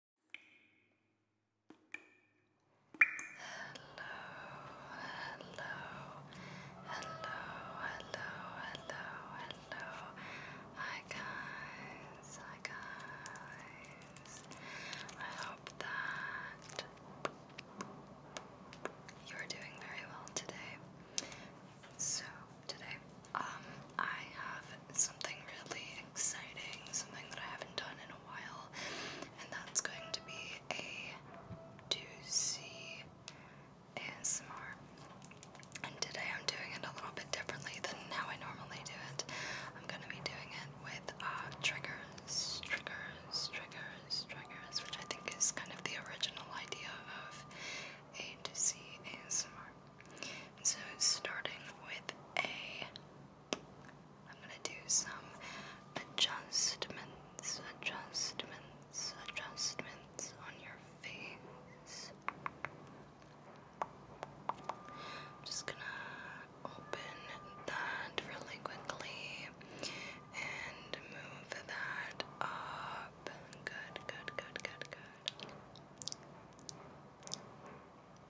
hello, hello, hello, hello, hello. Hi guys, hi guys. I hope that you're doing very well today. So today, um, I have something really exciting, something that I haven't done in a while, and that's going to be a 2C ASMR. And today I'm doing it a little bit differently than how I normally do it. I'm going to be doing it with uh, triggers, triggers, triggers, triggers, which I think is kind of the original idea of a 2C ASMR. So starting with a I'm gonna do some adjustments, adjustments, adjustments on your face. I'm just gonna open that really quickly and move that up. Good, good, good, good, good.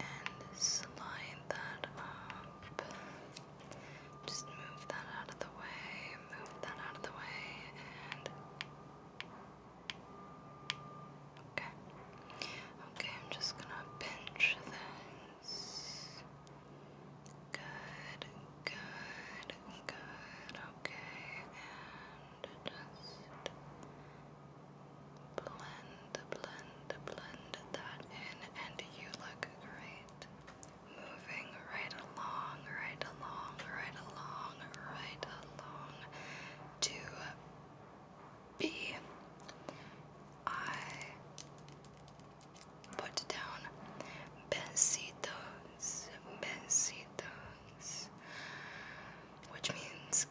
and slide that up. Just move that out of the way, move that out of the way, and. Okay. Okay, I'm just gonna pinch this. Good, good, good. Okay, and just Blend, blend, blend that in, and you look great. Moving right along, right along, right along, right along to B. I put down besitos, besitos which means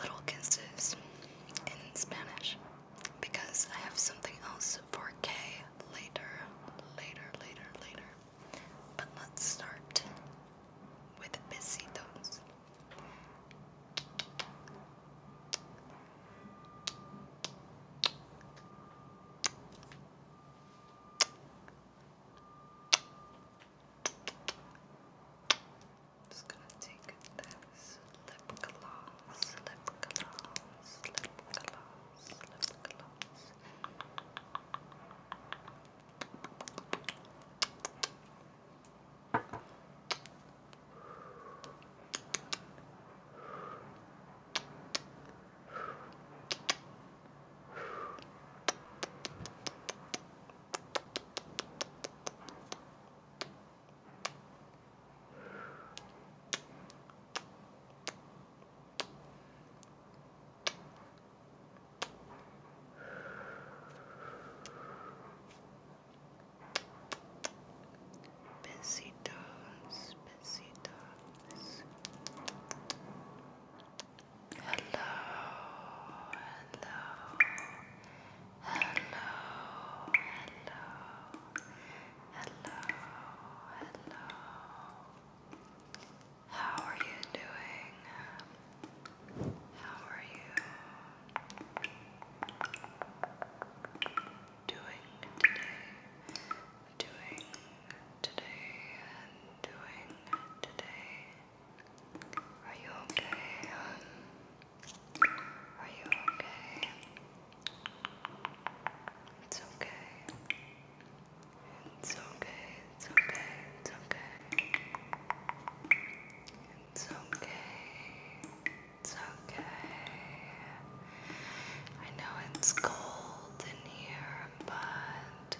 little kisses in Spanish, because I have something else for K later, later, later, later. But let's start with besitos just gonna take this lip gloss, lip gloss, lip gloss, lip gloss. Besitos, besitos. Hello, hello, hello, hello, hello. How are you doing? How are you doing today? Doing today and doing today. Are you okay? are you okay? It's okay. It's okay. It's okay. It's okay. It's okay. It's okay. I know it's cold in here, but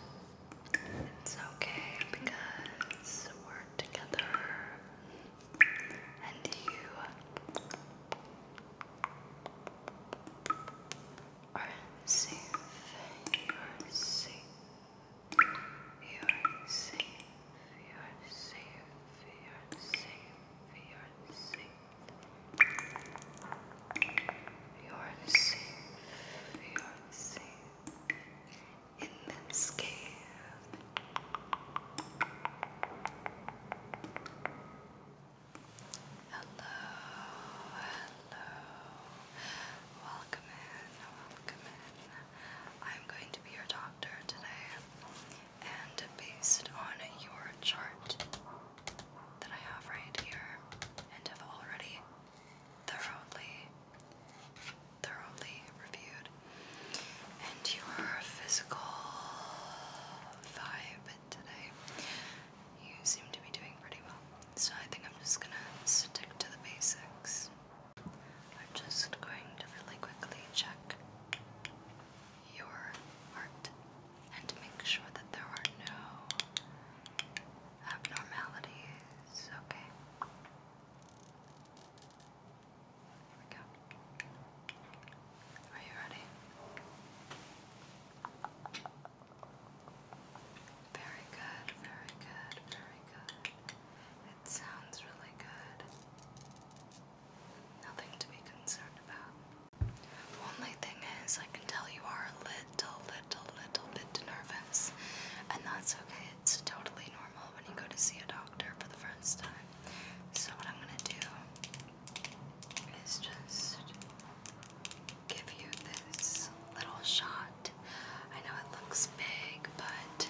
it's okay because we're together and you are safe. You You are safe. You You are safe. You You are safe. You You are safe. You You are safe. You You in Hello, hello. Welcome in, welcome in. I'm going to be your doctor today, and based on your chart that I have right here and have already thoroughly thoroughly reviewed, and your physical vibe today. You seem to be doing pretty well, so I think I'm just gonna stick to the basics. I'm just going to really quickly check your heart and make sure that there are no abnormalities, okay? Here we go. Are you ready? Very good, very good, very good. It sounds really good. Nothing to be concerned about. The only thing is, I can tell you are a little, little, little bit nervous, and that's okay. It's totally normal when you go to see a doctor for the first time. So, what I'm going to do is just give you this little shot. I know it looks big, but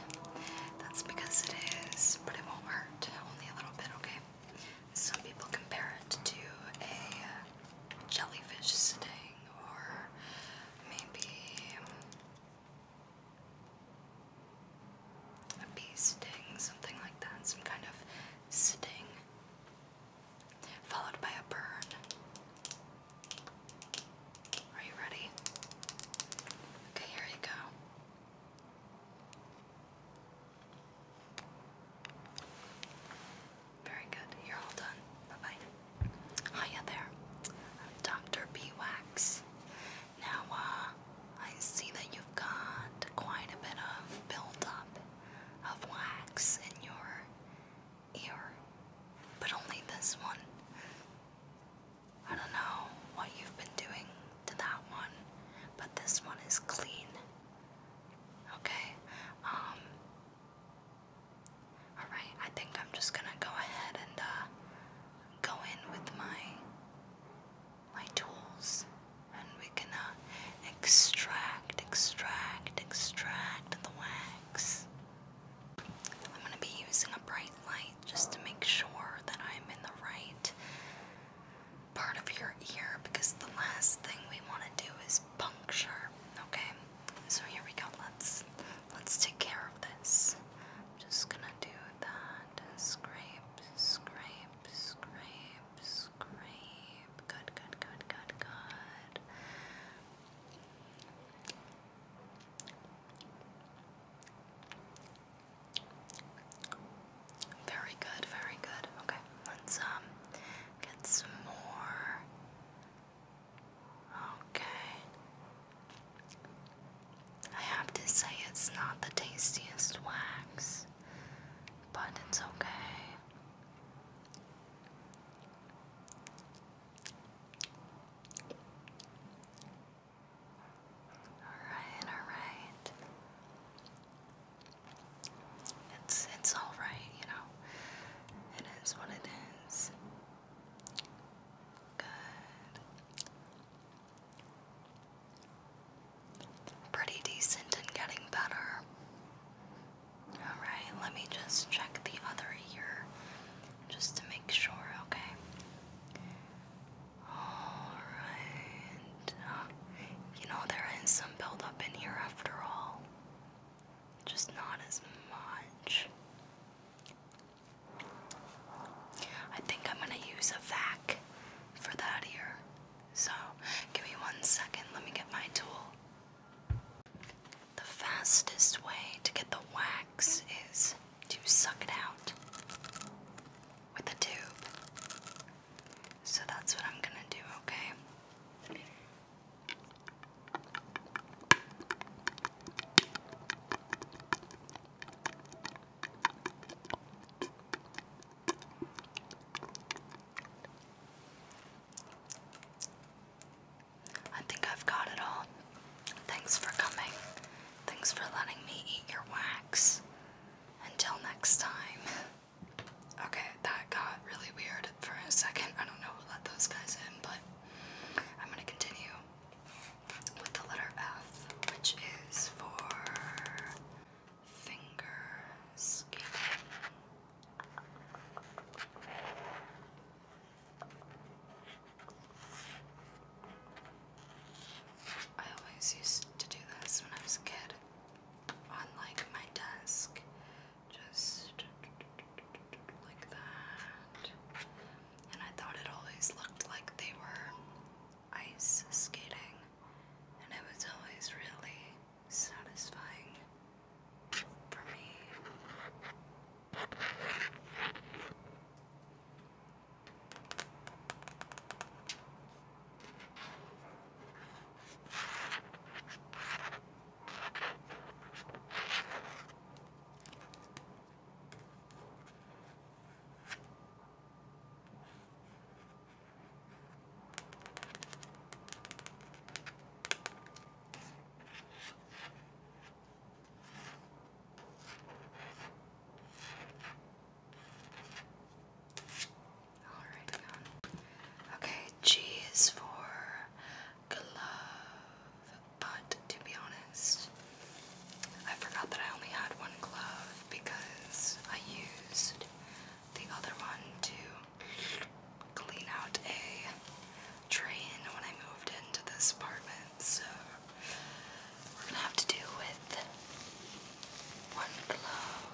that's because it is, but it won't hurt. Only a little bit, okay? Some people compare it to a jellyfish sting or maybe a bee sting, something like that, some kind of sting, followed by a burn. Are you ready? Okay, here you go. Very good. You're all done. Bye bye. Hiya there. Dr. B Wax. Now, uh, I see that you've got quite a bit of buildup of wax in your ear, but only this one. I don't know what you've been doing to that one, but this one is clean. Okay, um, alright, I think I'm just gonna go ahead and, uh, go in with my my tools and we can uh, extract, extract, extract the wax. I'm going to be using a bright light just to make sure that I'm in the right part of your ear because the last thing we want to do is puncture, okay? So here we go. Let's let's take care of this just gonna do that and scrape, scrape, scrape, scrape. Good, good, good, good, good. Very good, very good. Okay, let's um get some more. Okay. I have to say, it's not the tastiest wax, but it's okay. Alright, alright. It's it's alright, you know. It is what it is. Good. Pretty decent and getting better. Alright, let me just check the other ear just to make sure, okay? Alright. Uh, you know, there is some buildup in here after all. Just not as much. I think I'm gonna use a vac for that ear. So give me one second, let me get my tool. The fastest way to get the wax is to suck it out with a tube. So that's what I'm gonna do, okay? I think I've got it all. Thanks for coming. Thanks for letting me eat your wax. Until next time. Okay, that got really weird for a second. I don't know who let those guys in, but I'm gonna continue with the letter F, which is for finger skipping. I always used to do this when I was a kid on like my desk. Just like that and I thought it always looked like they were ice skating, and it was always really satisfying for me. All right, Okay, G is for glove, but to be honest, I forgot that I only had one glove because I used the other one to clean out a drain when I moved into this apartment. So we're gonna have to do with one glove,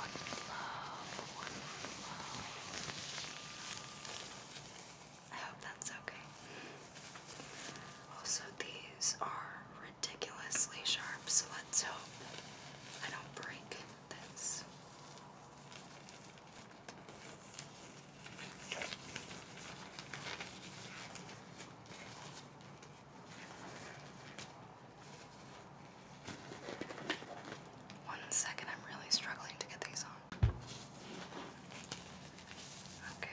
one glove, one glove. I hope that's okay. Also, these are ridiculously sharp, so let's hope I don't break this. One second, I'm really struggling to get these on. Okay.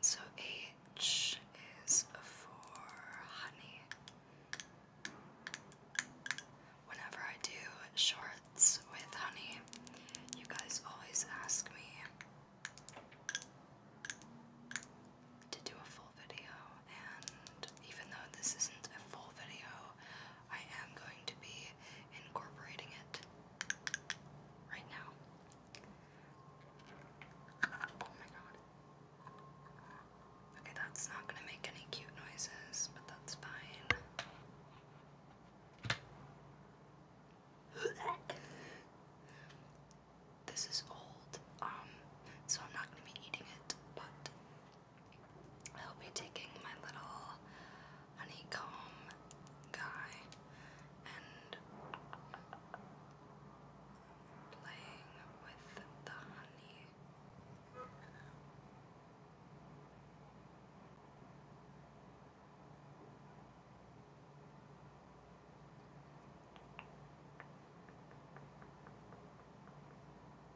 So H is for honey. Whenever I do shorts with honey, you guys always ask me to do a full video, and even though this isn't a full video, I am going to be incorporating it right now. Oh okay, that's not gonna make any cute noises, but that's fine. This is old, um, so I'm not gonna be eating it, but I'll be taking my little honeycomb guy and playing with the honey.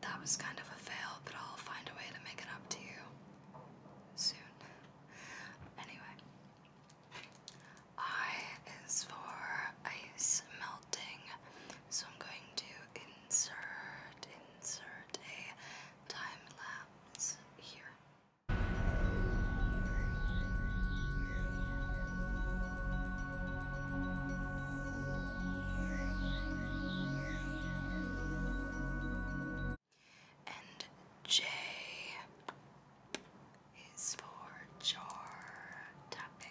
That was kind of a fail, but I'll find a way to make it up to you soon. anyway, I is for ice melting, so I'm going to insert, insert a time lapse here. And J is for jar tapping.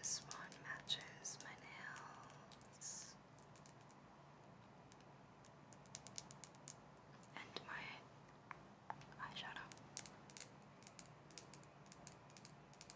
This one matches my nails and my eyeshadow.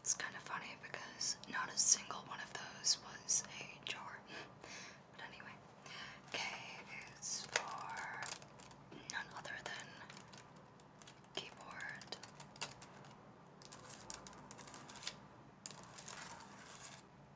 It's kind of funny because not a single one of those was a jar. but anyway, K is for none other than keyboard.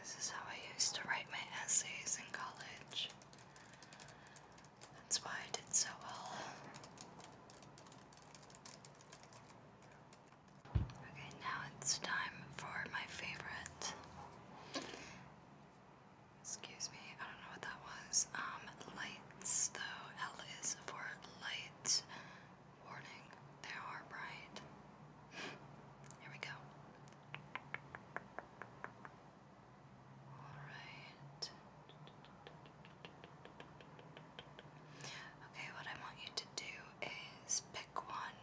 This is how I used to write my essays in college. That's why I did so well. Okay, now it's time for my favorite Excuse me, I don't know what that was. Um, lights though. L is for light. Warning, they are bright. Here we go. Alright. Okay, what I want you to do is pick one.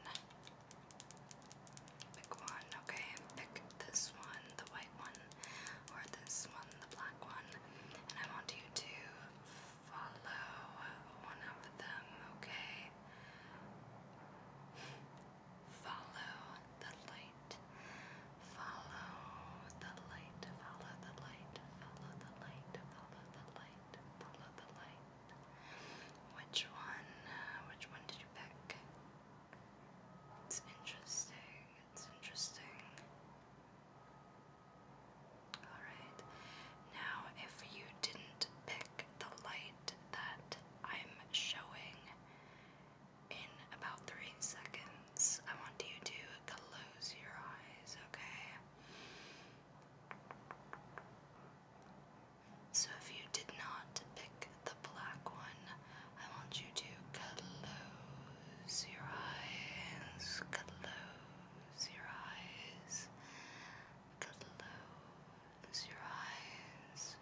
Pick one, okay? Pick this one, the white one, or this one, the black one. And I want you to follow one of them, okay? Follow the light. Follow the light. Follow the light. Follow the light. Follow the light. Follow the light. Which one? Uh, which one did you pick? It's interesting, it's interesting. Alright, now if you didn't pick the light that I'm showing in about three seconds, I want you to close your eyes, okay? So if you did not pick the black one, I want you to close your eyes. Close your eyes. Close your eyes.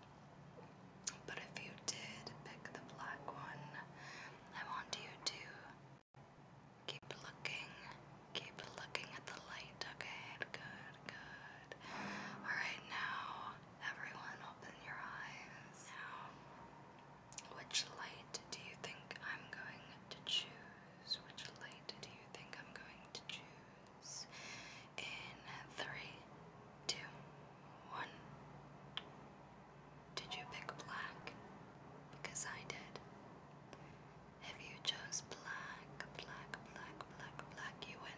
But if you did pick the black one, I want you to keep looking, keep looking at the light, okay? Good, good. Alright, now everyone open your eyes. Now, which light do you think I'm going to choose? Which light do you think I'm going to choose? In three, two, one. Did you pick black? Because I did. If you chose black, black, black, black, black, you win.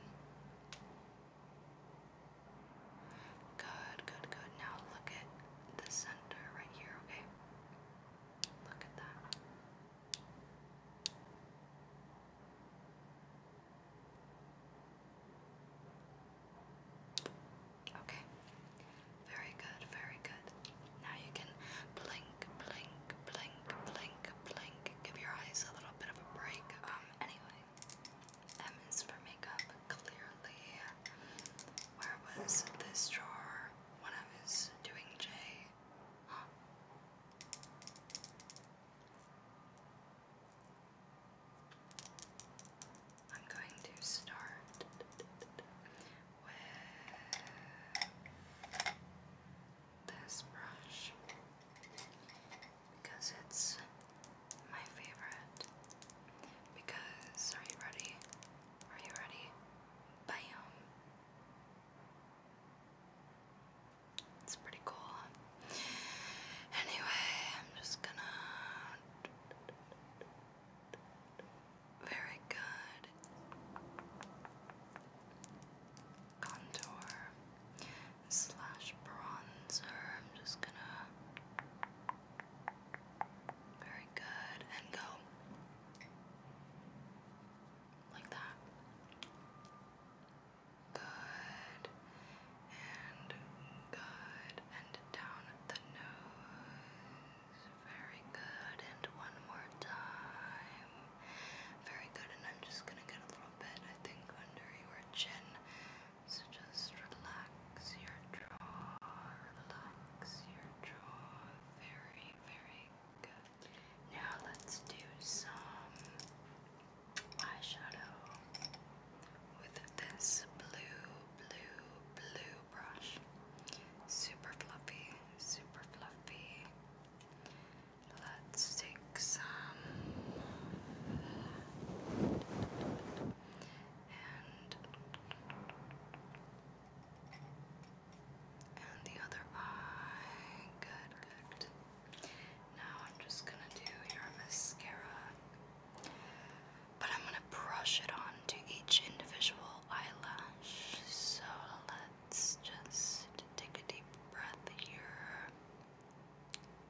Good, good, good. Now look at the center right here, okay? Look at that. Okay. Very good, very good. Now you can blink, blink, blink, blink, blink. Give your eyes a little bit of a break. Um, anyway, M is for makeup, clearly. Where was this drawer when I was doing J? am going to start with this brush because it's my favorite. Because, are you ready? Are you ready? Bam! It's pretty cool. Anyway, I'm just gonna. Very good. Contour slash bronzer. I'm just gonna very good and go like that. Good and good and down the nose. Very good and one more time. Very good and I'm just gonna get a little bit I think under your chin. So just relax your jaw, relax your jaw. Very, very good. Now let's do some eyeshadow with this blue, blue, blue brush. Super fluffy, super fluffy. Let's take some and and the other eye. Good, Now I'm just gonna do your mascara, but I'm gonna brush it on to each individual eyelash. So let's just take a deep breath here.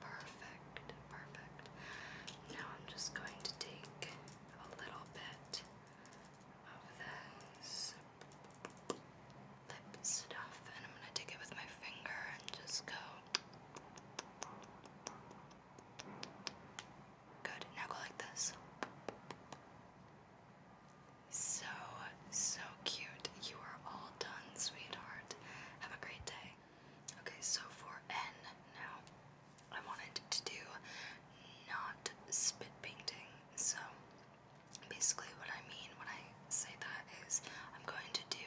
Perfect, perfect. Now I'm just going to take a little bit of this lip stuff and I'm going to take it with my finger and just go. Good. Now go like this. So, so cute. You are all done, sweetheart. Have a great day. Okay, so for N now, I wanted to do not spit painting. So basically, what I mean when I say that is I'm going to do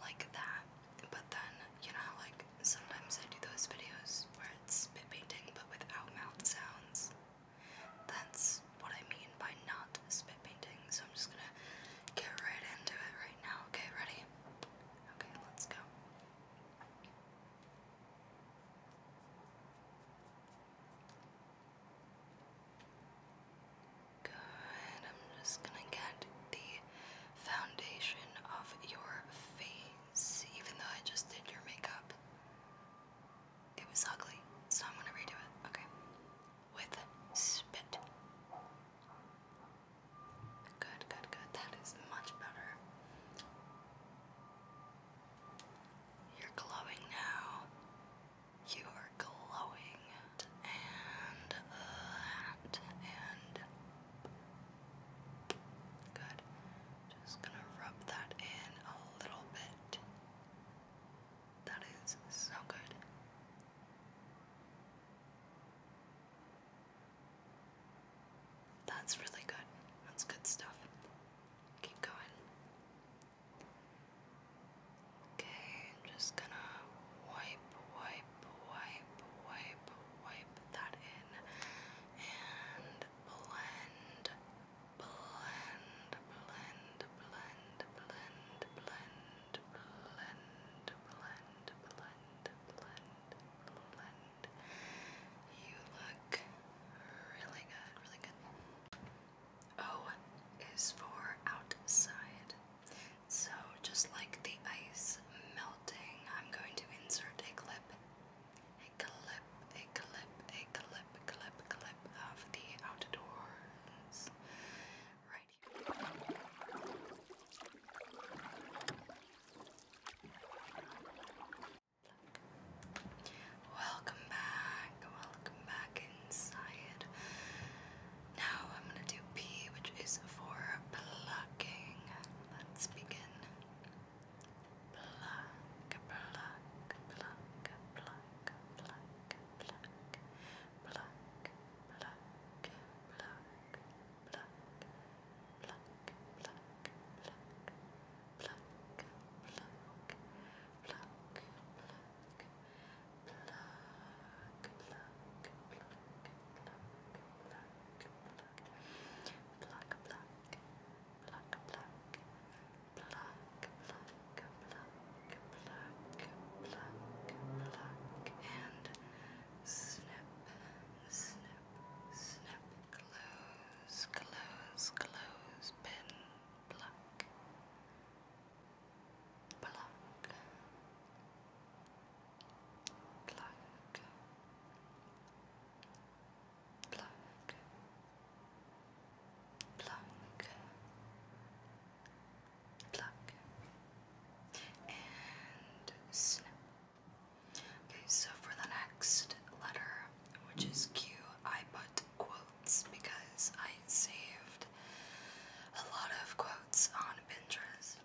like that, but then you know like, sometimes I do those videos where it's spit painting but without mouth sounds. That's what I mean by not spit painting, so I'm just gonna get right into it right now. Okay, ready? Okay, let's go. Good. I'm just going to get the foundation of your face, even though I just did your makeup. It was ugly, so I'm going to redo it. Okay. With spit. Good, good, good. That is much better. You're glowing now. You are glowing. And uh, And. Good. Just gonna rub that in a little bit. That is so good. That's really good. That's good stuff. Keep going. Okay, I'm just gonna wipe, wipe, wipe, wipe, wipe that in and blend, blend, blend, blend, blend, blend, blend, blend, blend, blend, blend. You look really good, really good. O is for outside. So, just like the ice melting, I'm going to insert a clip, a clip, a clip, a clip, clip, clip of the outdoors right Welcome back, welcome back inside. Now I'm gonna do P, which is for plucking. Let's begin. Pluck, pluck, pluck, pluck, pluck, pluck, pluck, pluck, pluck pluck, pluck, pluck, pluck, pluck, pluck, pluck, pluck, pluck, pluck, Pluck, pluck, pluck, pluck, pluck, pluck, pluck, pluck, pluck, pluck, pluck, and Snap, snap, snap. Close, close, close. Pin, pluck, pluck, pluck, pluck, pluck, pluck. And snip, Okay, so for the next letter, which is Q, I put quotes because I saved a lot of quotes on Pinterest.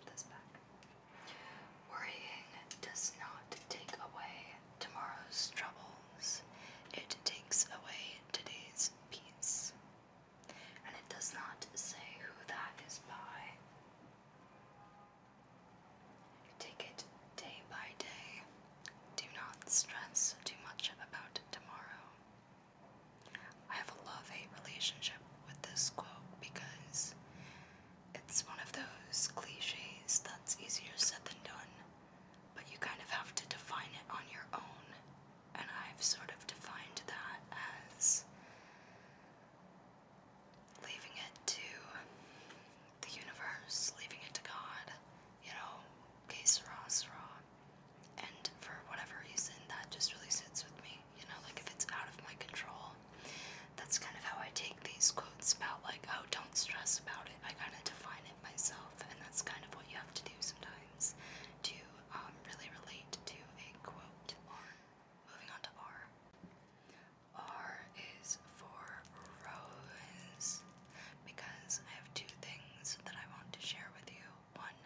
Worrying does not take away tomorrow's troubles, it takes away today's peace. And it does not say who that is by. Take it day by day. Do not stress too much about tomorrow. I have a love hate relationship with this quote because it's one of those cliches that's easier said than done, but you kind of have to define it on your own. And I've sort of defined that as leaving it to the universe, leaving it to God, you know, que sera, raw, And for whatever reason, that just really sits with me, you know, like if it's out of my control. That's kind of how I take these quotes about, like, oh, don't stress about it. I kind of define it myself, and that's kind of what you have to do sometimes to um, really relate to a quote. more. Moving on to R. R is for rose because I have two things that I want to share with you. One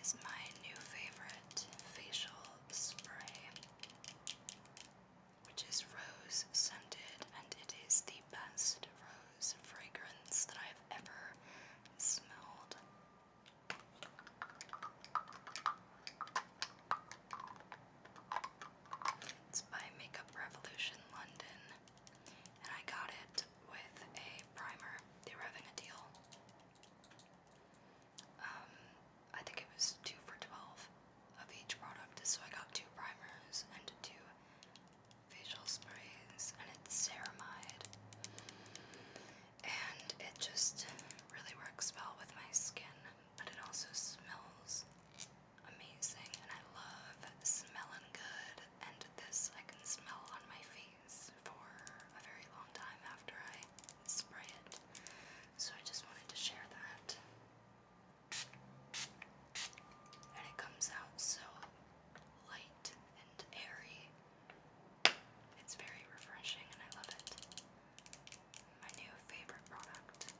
is my new favorite facial spray, which is rose scented, and it is the best rose fragrance that I've ever smelled. It's by Makeup Revolution London, and I got it with a primer. They were having a deal. Um, I think it was two for twelve of each product, so I got two primers and two facial sprays, and it's ceramide and it just really works well with my skin, but it also smells amazing, and I love smelling good, and this I can smell on my face for a very long time after I spray it, so I just wanted to share that. And it comes out so light and airy it's very refreshing and I love it. My new favorite product.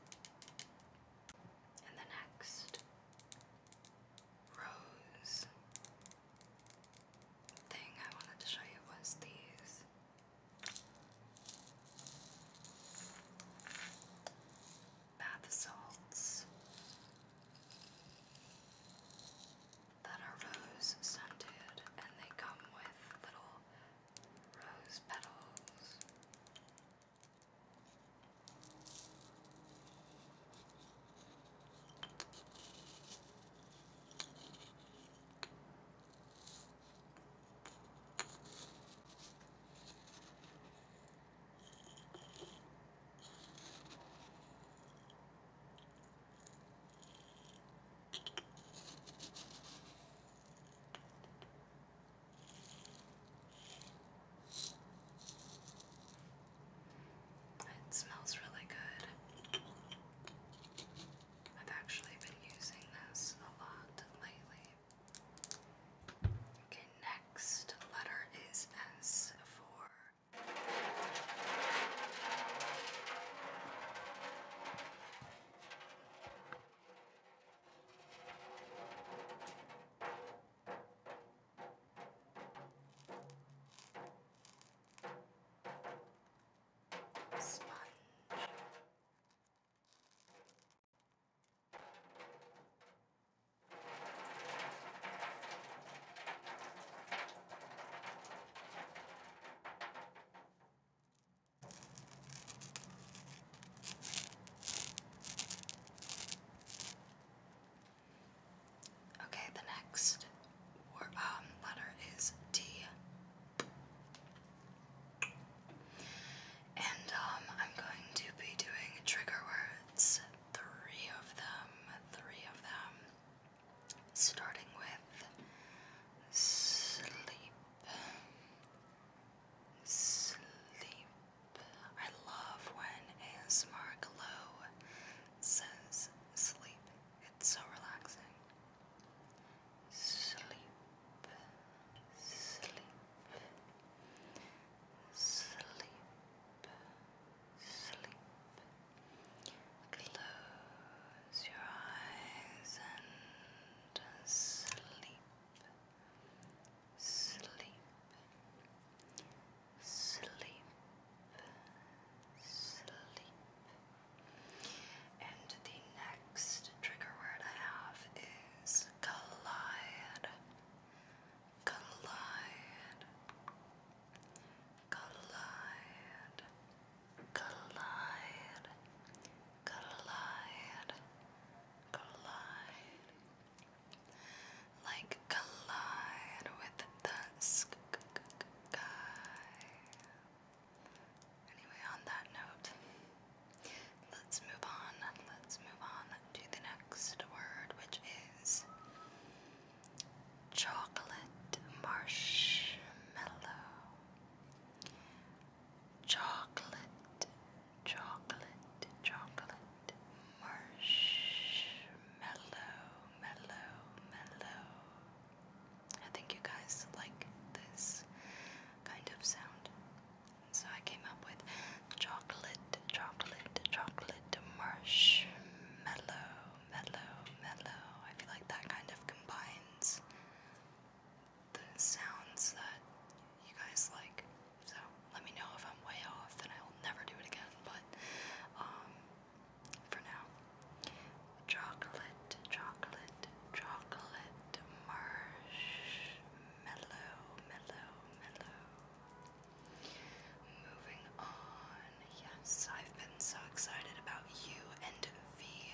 And the next rose thing I wanted to show you was these. Bath salts that are rose scented, and they come with little rose petals. It smells really good. I've actually been using this a lot lately. Okay, next letter is S for Sponge. Okay, the next um, letter is T. And um, I'm going to be doing trigger words, three of them, three of them starting with sleep. Sleep. I love when ASMR Glow says sleep. It's so relaxing. Sleep. Sleep. Sleep. Sleep. Close Close your eyes and sleep, sleep, sleep, sleep. And the next trigger word I have is collide, collide, collide. Collide, collide, collide, collide. Like collide with the sky. Anyway, on that note, let's move on. Let's move on to the next word, which is chocolate marshmallow chocolate, chocolate, chocolate, marshmallow, mellow, mellow. I think you guys like this kind of sound. So I came up with chocolate, chocolate, chocolate, marshmallow, mellow, mellow. I feel like that kind of combines the sounds that you guys like. So let me know if I'm way off, and I will never do it again. But um, for now, chocolate, chocolate, chocolate, marshmallow, mellow, mellow. Moving on. Yes, I've been so excited about you and V.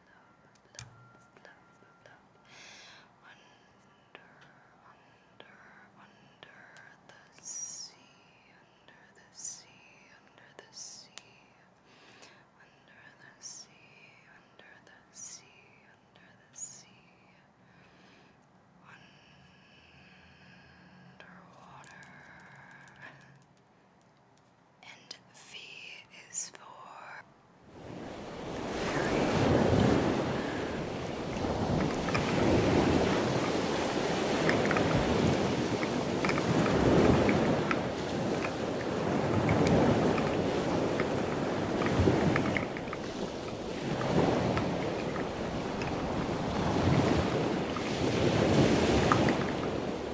love, love, love. Under, under, under the sea, under the sea, under the sea, under the sea, under the sea, under the sea. Underwater. Underwater, and V is for very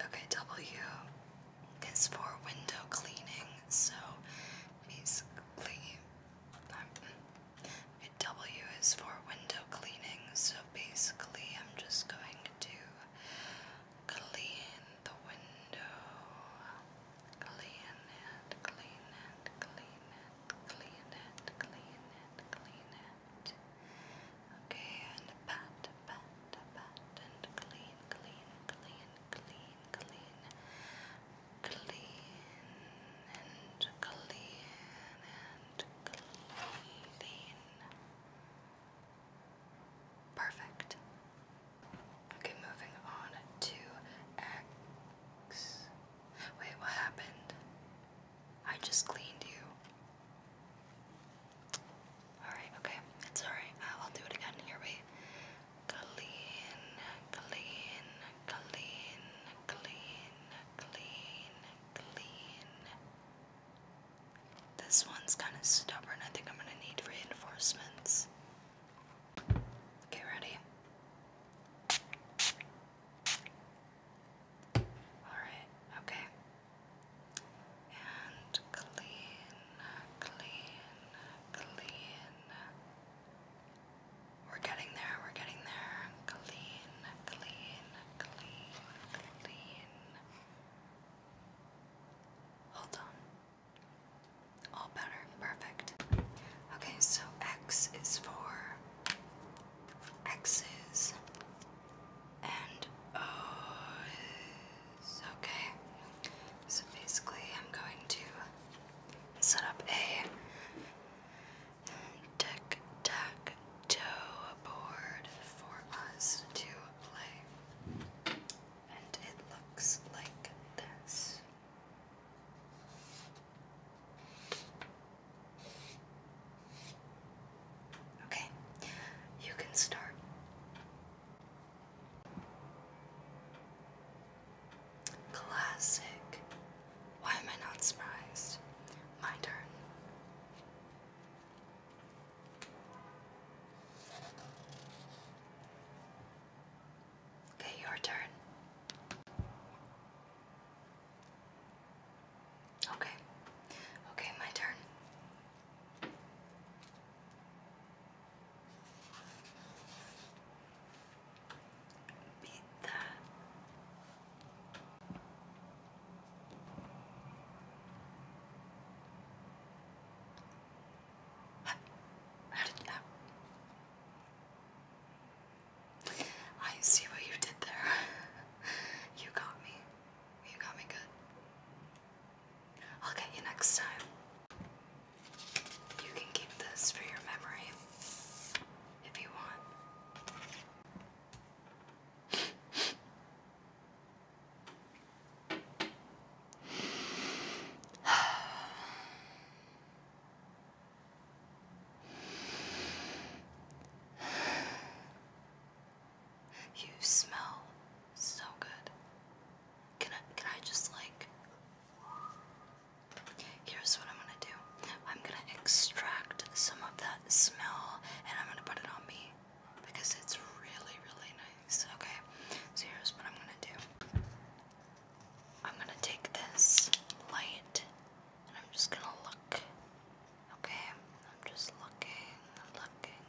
Okay, W is for window cleaning, so basically, W is for window cleaning, so basically, I'm just going to clean the window. Clean it, clean it, clean it, clean it, clean it, clean it pat. Okay, and pat, pat, pat, and clean, clean, clean, clean, clean, clean, and clean, and clean. Perfect. Okay, moving on to X. Wait, what happened? I just cleaned you. Alright, okay. It's alright. I'll do it again. Here we clean, clean, clean, clean, clean, clean. This one's kind of stubborn. I think I'm going to need reinforcements. Okay, ready? Alright, okay. And clean, clean, clean. We're getting there, we're getting there. Clean, clean, clean, clean. Hold on. All better. Perfect. Okay, so X is for X's and O's. Okay, so basically, I'm going to set up a tic tac toe board for us to play, and it looks like this. Okay, you can start. Classic. Why am I not surprised? My turn. Okay, your turn. Okay. Okay, my turn. Beat that. How, how did that? I see what you did there. you got me. You got me good. I'll get you next time. You can keep this for your memory if you want. You smell so good. Can I can I just like Here's what I'm gonna do. I'm gonna extract some of that smell and I'm gonna put it on me because it's really, really nice. Okay, so here's what I'm gonna do. I'm gonna take this light and I'm just gonna look Okay, I'm just looking, looking,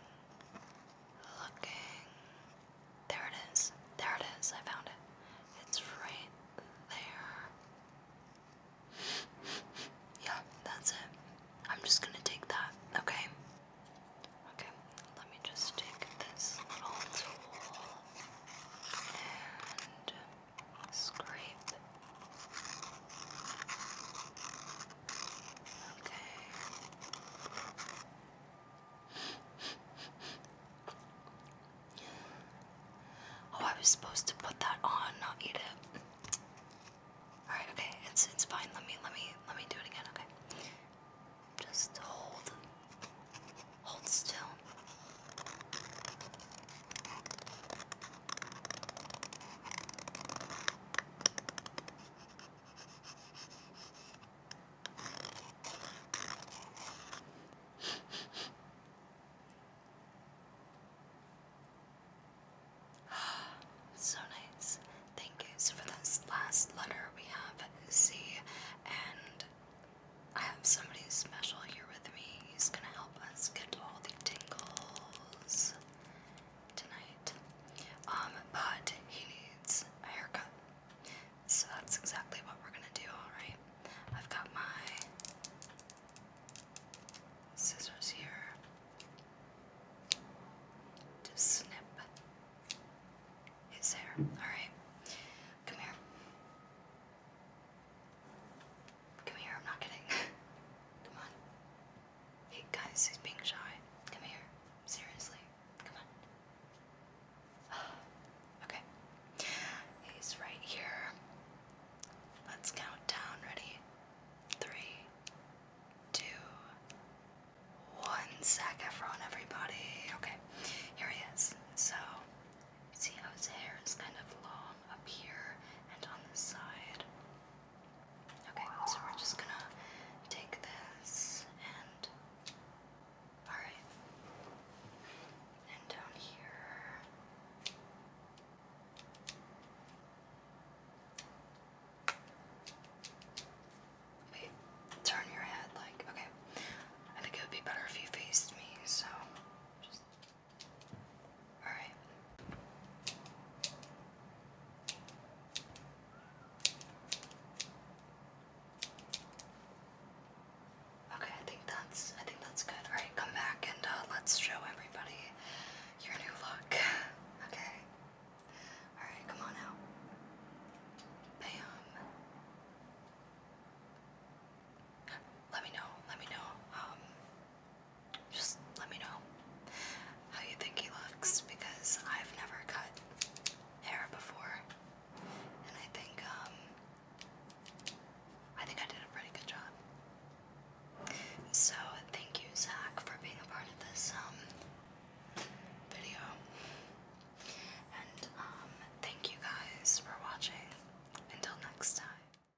looking. There it is. There it is. I found it. It's right there. yeah, that's it. I'm just gonna take that, okay? Okay, let me just take this little tool and scrape. Okay. Oh, I was supposed to put that on, not eat it. All right, okay, it's it's fine. Let me let me let me do it again. Okay, just hold, hold still. so nice. Thank you. So for this last letter we have C and I have somebody special here with me. He's gonna help let us get all the tingles tonight. Um, but he needs a haircut. So that's exactly what we're gonna do, alright? I've got my scissors here to snip his hair. Alright, come here. Come here, I'm not kidding. Come on. Hey guys, he's being shy. Come here. Seriously. Come on. okay. He's right here. Let's count down. Ready? Three, two, one. Zac Efron, everybody. Okay, here he is. So, see how his hair is kind of long? up here and on the side. Okay, so we're just gonna take this and. Alright. And down here. Wait, turn your head like. Okay. I think it would be better if you faced me, so just all right. Okay, I think that's I think that's good. All right, come back and uh, let's show everybody your new look. Okay. All right, come on out. Bam. Let me know. Let me know. Um, just let me know how you think he looks because I've never cut hair before, and I think um, I think I did a pretty good job. So thank you, Zach, for being a part of this um, video, and um, thank you guys for watching. Until next time.